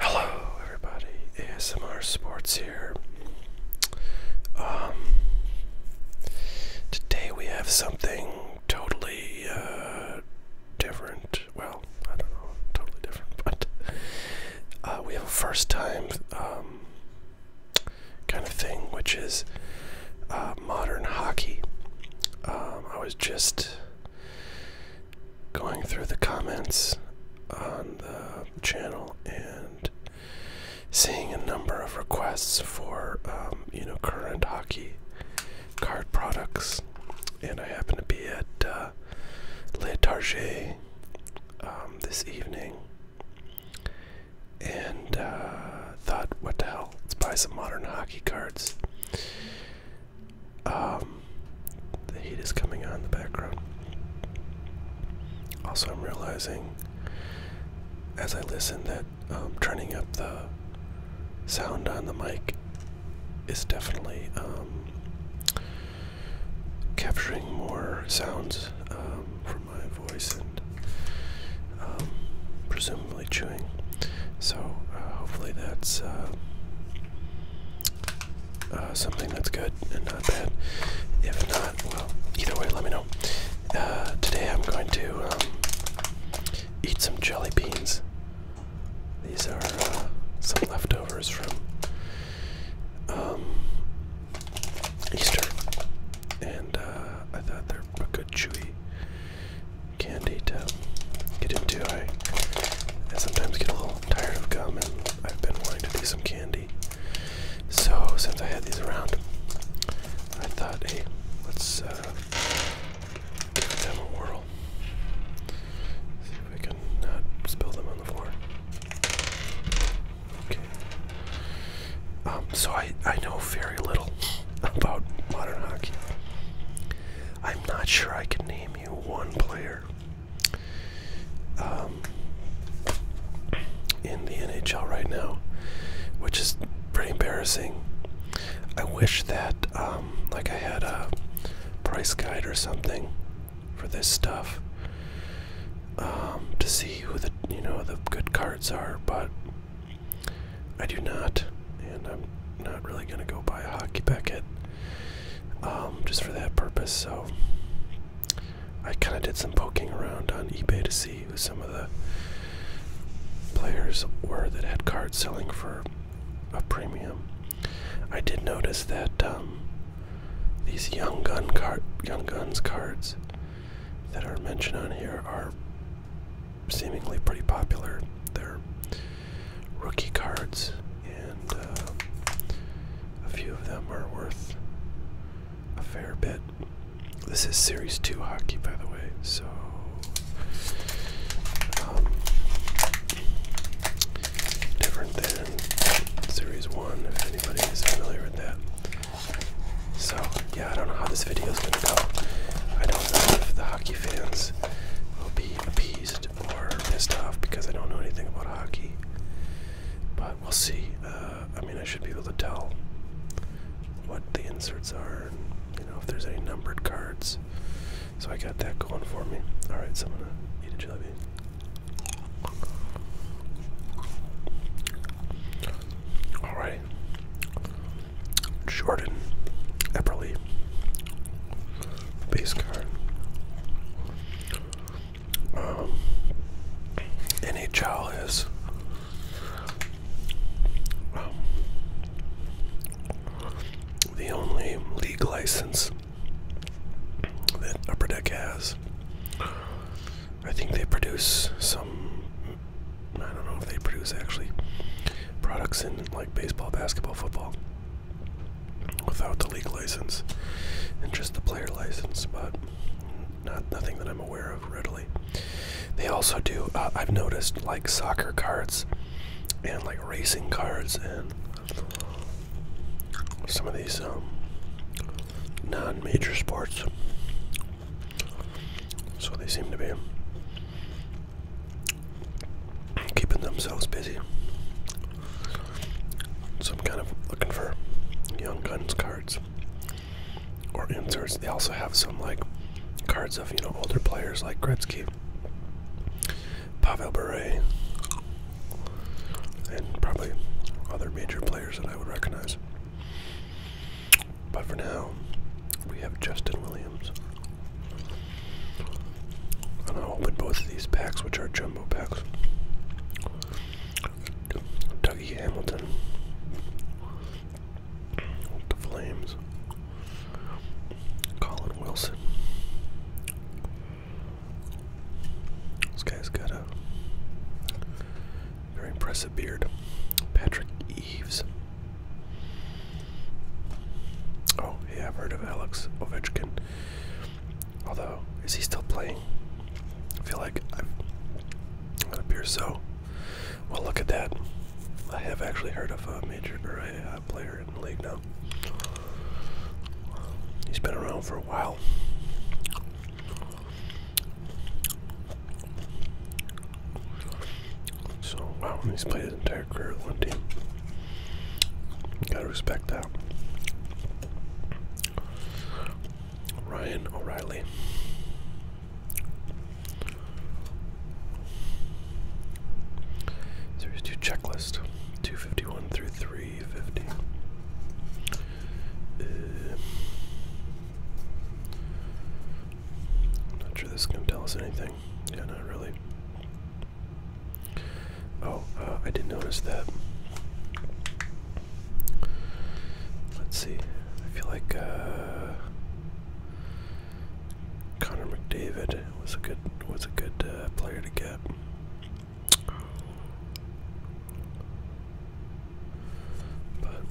Hello, everybody. ASMR Sports here. Um, today we have something totally uh, different. Well, I don't know, totally different, but uh, we have a first time um, kind of thing, which is uh, modern hockey. Um, I was just going through the comments on the channel and seeing a number of requests for um, you know current hockey card products, and I happen to be at uh, Le Target um, this evening, and uh, thought, what the hell, let's buy some modern hockey cards. Um, the heat is coming on in the background. Also, I'm realizing as I listen that um, turning up the sound on the mic is definitely um, capturing more sounds from my voice and um, presumably randomly chewing. So uh, hopefully that's uh, uh, something that's good and not bad. If not, well, either way, let me know. today I'm going to um, eat some jelly beans. These are some leftovers from um, Easter, and I thought they're a good chewy candy to get into. I, I sometimes get a little tired of gum and I've been wanting to do some candy. So since I had these around, I thought, hey, let's uh, give them a whirl. See if I can spill them on the floor. Okay. Um, so I, I know very little about modern hockey. I'm not sure I can name you one player um, in the NHL right now, which is pretty embarrassing. I wish that, um, like, I had a price guide or something for this stuff um, to see who the you know the good cards are, but I do not, and I'm not really going to go buy a hockey packet um, just for that purpose. So I kind of did some poking around on eBay to see who some of the players were that had cards selling for a premium. I did notice that um, these young gun card, young guns cards that are mentioned on here are seemingly pretty popular. They're rookie cards, and uh, a few of them are worth a fair bit. This is Series 2 hockey, by the way, so. Um, different than Series 1, if anybody is familiar with that. So, I don't know how this video is gonna go. I don't know if the hockey fans will be appeased or pissed off because I don't know anything about hockey. But we'll see. Uh, I mean, I should be able to tell what the inserts are and you know if there's any numbered cards. So I got that going for me. All right, so I'm gonna eat a jelly bean. All right, Jordan, Epperly, base card. Um, NHL is um, the only league license that Upper Deck has. I think they produce some I don't know if they produce actually products in like baseball, basketball, football without the league license and just the player license, but not nothing that I'm aware of readily. They also do. Uh, I've noticed like soccer cards and like racing cards and some of these um, non-major sports so they seem to be keeping themselves busy. So I'm kind of looking for Young Guns cards or inserts. They also have some like cards of, you know, older players like Gretzky, Pavel Bure, and probably other major players that I would recognize. But for now, we have Justin Williams. I'm gonna open both of these packs, which are jumbo packs. Dougie Hamilton. The Flames. Colin Wilson. This guy's got a very impressive beard. Patrick Eves. Oh, yeah, I've heard of Alex Ovechkin. Although, is he still playing? I feel like I'm. It appears so. Well, look at that. I have actually heard of a major player in the league now. He's been around for a while. So, wow, he's played his entire career with one team. gotta respect that. Ryan O'Reilly. Series 2 checklist 251 through 350. Uh, not sure this is going to tell us anything. Yeah, not really. Oh, uh, I did not notice that. Let's see. I feel like uh, Connor McDavid was a good was a good uh, player to get. But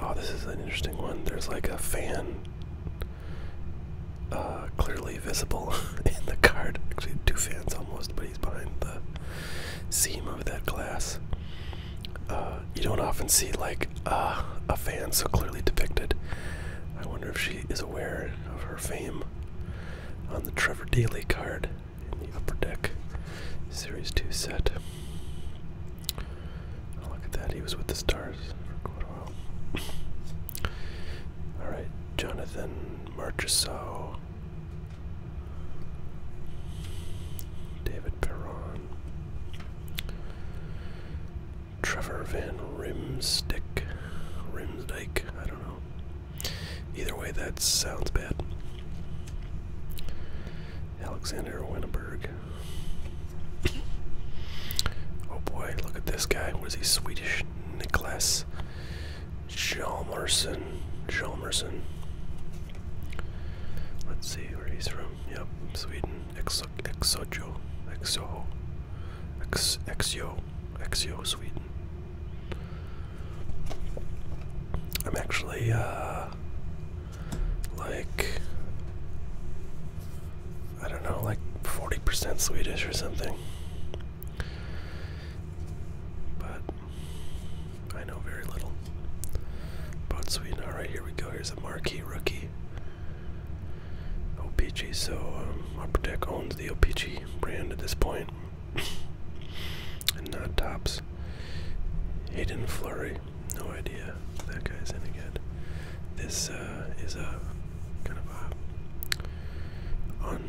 oh, this is an interesting one. There's like a fan uh, clearly visible in the card. Actually, two fans almost, but he's behind the seam of that glass. Uh, you don't often see like uh, a fan so clearly depicted. I wonder if she is aware of her fame on the Trevor Daly card in the upper deck series 2 set. Oh, look at that, he was with the stars for quite a while. Alright, Jonathan Marchessault, David Perron, Trevor Van Rimstick, Rimsdike, I don't know. Either way, that sounds bad. Alexander Winneberg. Oh boy, look at this guy. What is he? Swedish Niklas Jalmerson. Jalmerson. Let's see where he's from. Yep, Sweden. Exo Exojo. Exo. Exo. Exio, Sweden. I'm actually, uh, like, I don't know, like 40% Swedish or something. But I know very little about Sweden. Alright, here we go. Here's a marquee rookie. OPG, so um, Upper owns the OPG brand at this point not tops. Hayden Flurry. No idea that guy's any good. This uh, is a kind of a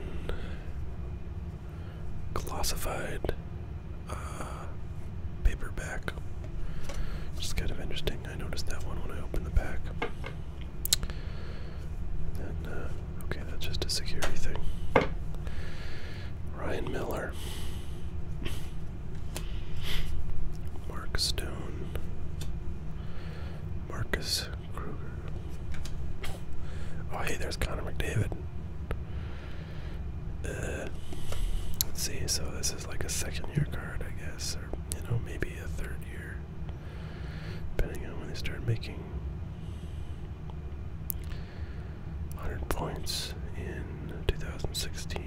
unclassified uh, paperback. Which kind of interesting. I noticed that one when I opened the pack. Uh, Okay, that's just a security thing. Ryan Miller. Mark Stone. Marcus Kruger. Oh, hey, there's Connor McDavid. Uh, let's see, so this is like a second year card, I guess, or, you know, maybe a third year, depending on when they start making 100 points in 2016.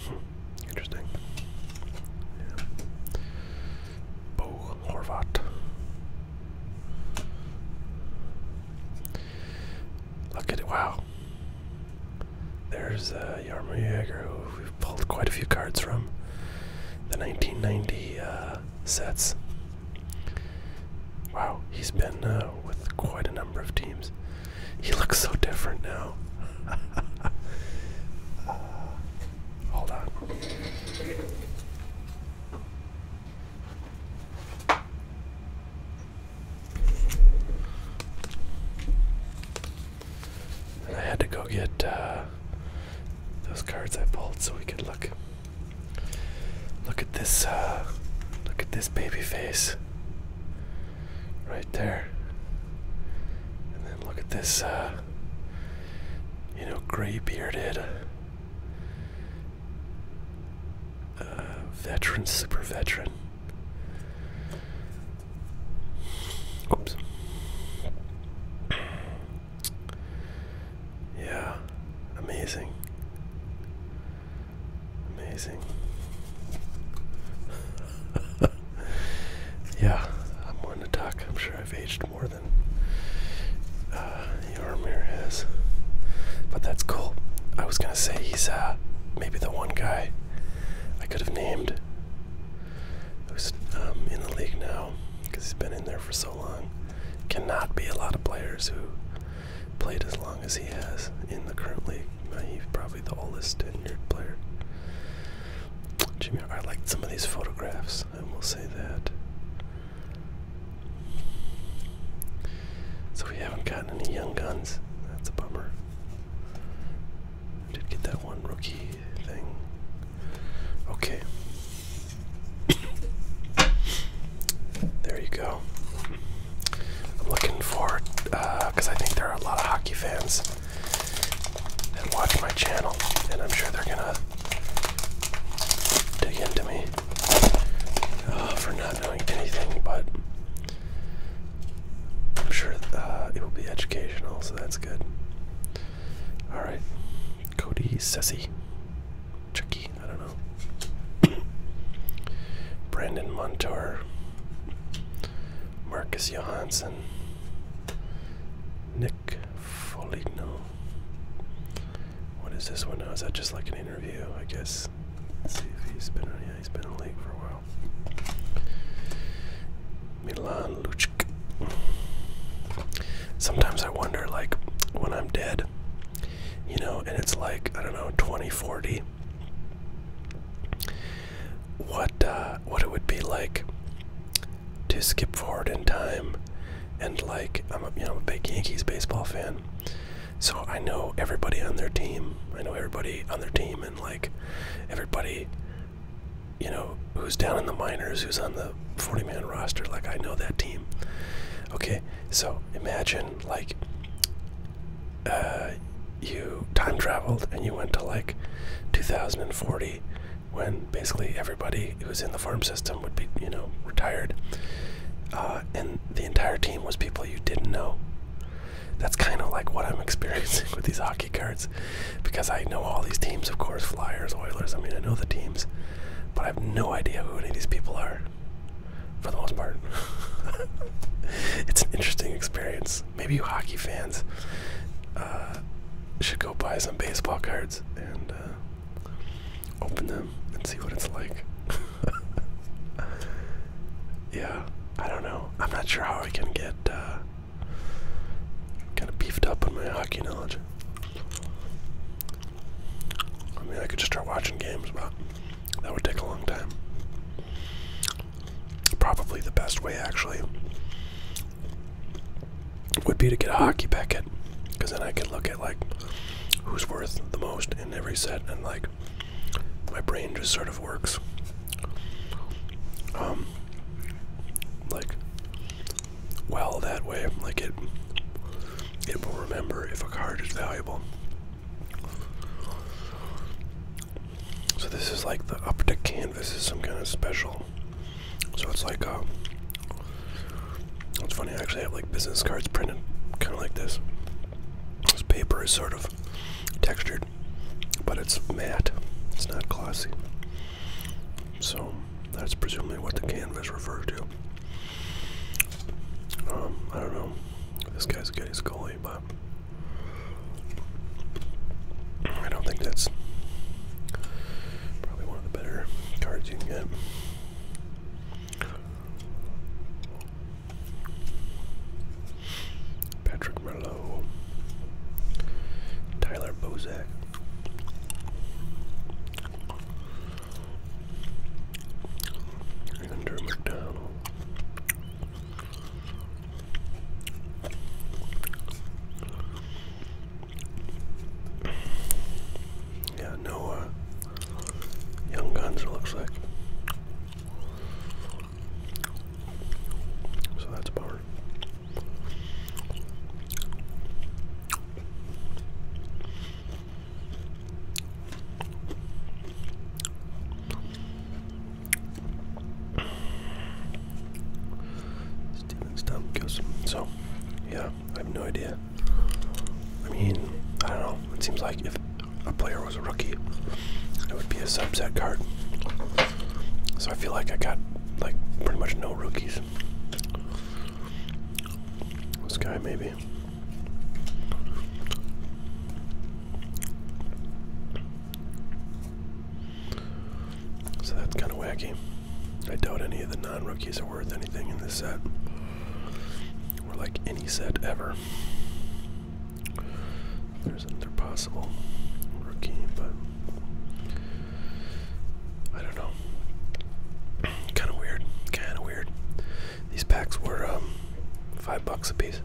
Hmm, interesting. Bo Horvat. Look at it. Wow. There's uh, Yarmo who we pulled quite a few cards from. The 1990 uh, sets. Wow, he's been uh, with quite a number of teams. He looks so different now. hold on. I had to go get uh, those cards I pulled so we could look look at this uh look at this baby face right there and then look at this uh you know gray bearded uh, veteran super veteran oops yeah, amazing. Amazing. yeah, I'm one to talk. I'm sure I've aged more than uh, Yormir has. But that's cool. I was gonna say he's uh, maybe the one guy I could have named who's um, in the league now because he's been in there for so long. Cannot be a lot of players who played as long as he has in the current league. Uh, he's probably the oldest tenured player. Jimmy, I like some of these photographs, I will say that. So we haven't gotten any young guns. That's a bummer. I did get that one rookie thing. Okay. there you go. I'm looking forward because uh, I think there are a lot of hockey fans that watch my channel, and I'm sure they're gonna dig into me uh, for not knowing anything, but. I'm sure uh, it will be educational, so that's good. Alright. Cody Sessi. Chucky, I don't know. Brandon Montour. Marcus Johansson. Nick Foligno. What is this one now? Is that just like an interview? I guess. see if he's been yeah, he's been in the league for a while. Milan Luchk. Sometimes I wonder, like, when I'm dead, you know, and it's like, I don't know, 2040, what, uh, what it would be like to skip forward in time. And, like, I'm a, you know, I'm a big Yankees baseball fan. So I know everybody on their team. I know everybody on their team and, like, everybody you know, who's down in the minors, who's on the 40 man roster. Like, I know that team. Okay, so imagine, like, uh, you time traveled and you went to like 2040 when basically everybody who was in the farm system would be, you know, retired. Uh, and the entire team was people you didn't know. That's kind of like what I'm experiencing with these cards because I know all these teams, of course Flyers, Oilers, I mean, I know the teams, but I have no idea who any of these people are for the most part. it's an interesting experience. Maybe you hockey fans uh, should go buy some baseball cards and uh, open them and see what it's like. yeah, I don't know. I'm not sure how I can get. Uh, Kind of beefed up on my hockey knowledge. I mean, I could just start watching games, but that would take a long time. Probably the best way, actually, would be to get a hockey packet, because then I could look at like who's worth the most in every set, and like my brain just sort of works. Um, like, well, that way, like it, it will remember if a card is valuable. So this is like the up to canvas is some kind of special. So it's like uh, It's funny I actually have like business cards printed kind of like this. This paper is sort of textured but it's matte, it's not glossy. So that's presumably what the canvas referred to. Um, I don't know. This guy's getting scaly, but I don't think that's probably one of the better cards you can get. Patrick Merlot, Tyler Bozak. Andrew McDonald. Yeah, no young guns it looks like. So that's a bummer. Stump kills him. So, yeah, I have no idea. I mean, I don't know. It seems like if a player was rookie, it would be a subset card. So I feel like I got like pretty much no rookies. This guy maybe. So that's kind of wacky. I doubt any of the non-rookies are worth anything in this set, or like any set ever. There's another possible rookie, but I don't know. kind of weird. Kind of weird. These packs were um, five bucks a piece,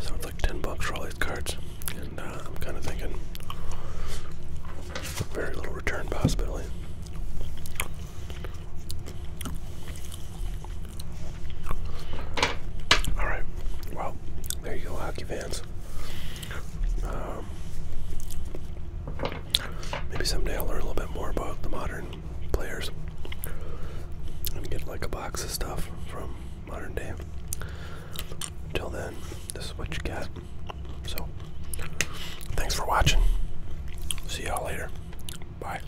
so it's like ten bucks for all these cards, and uh, I'm kind of thinking very little return possibility. All right. Well, there you go, hockey fans. Um, maybe someday I'll learn a little bit more about the modern players and get like a box of stuff from modern day. Until then, this is what you get. So, thanks for watching. See y'all later. Bye.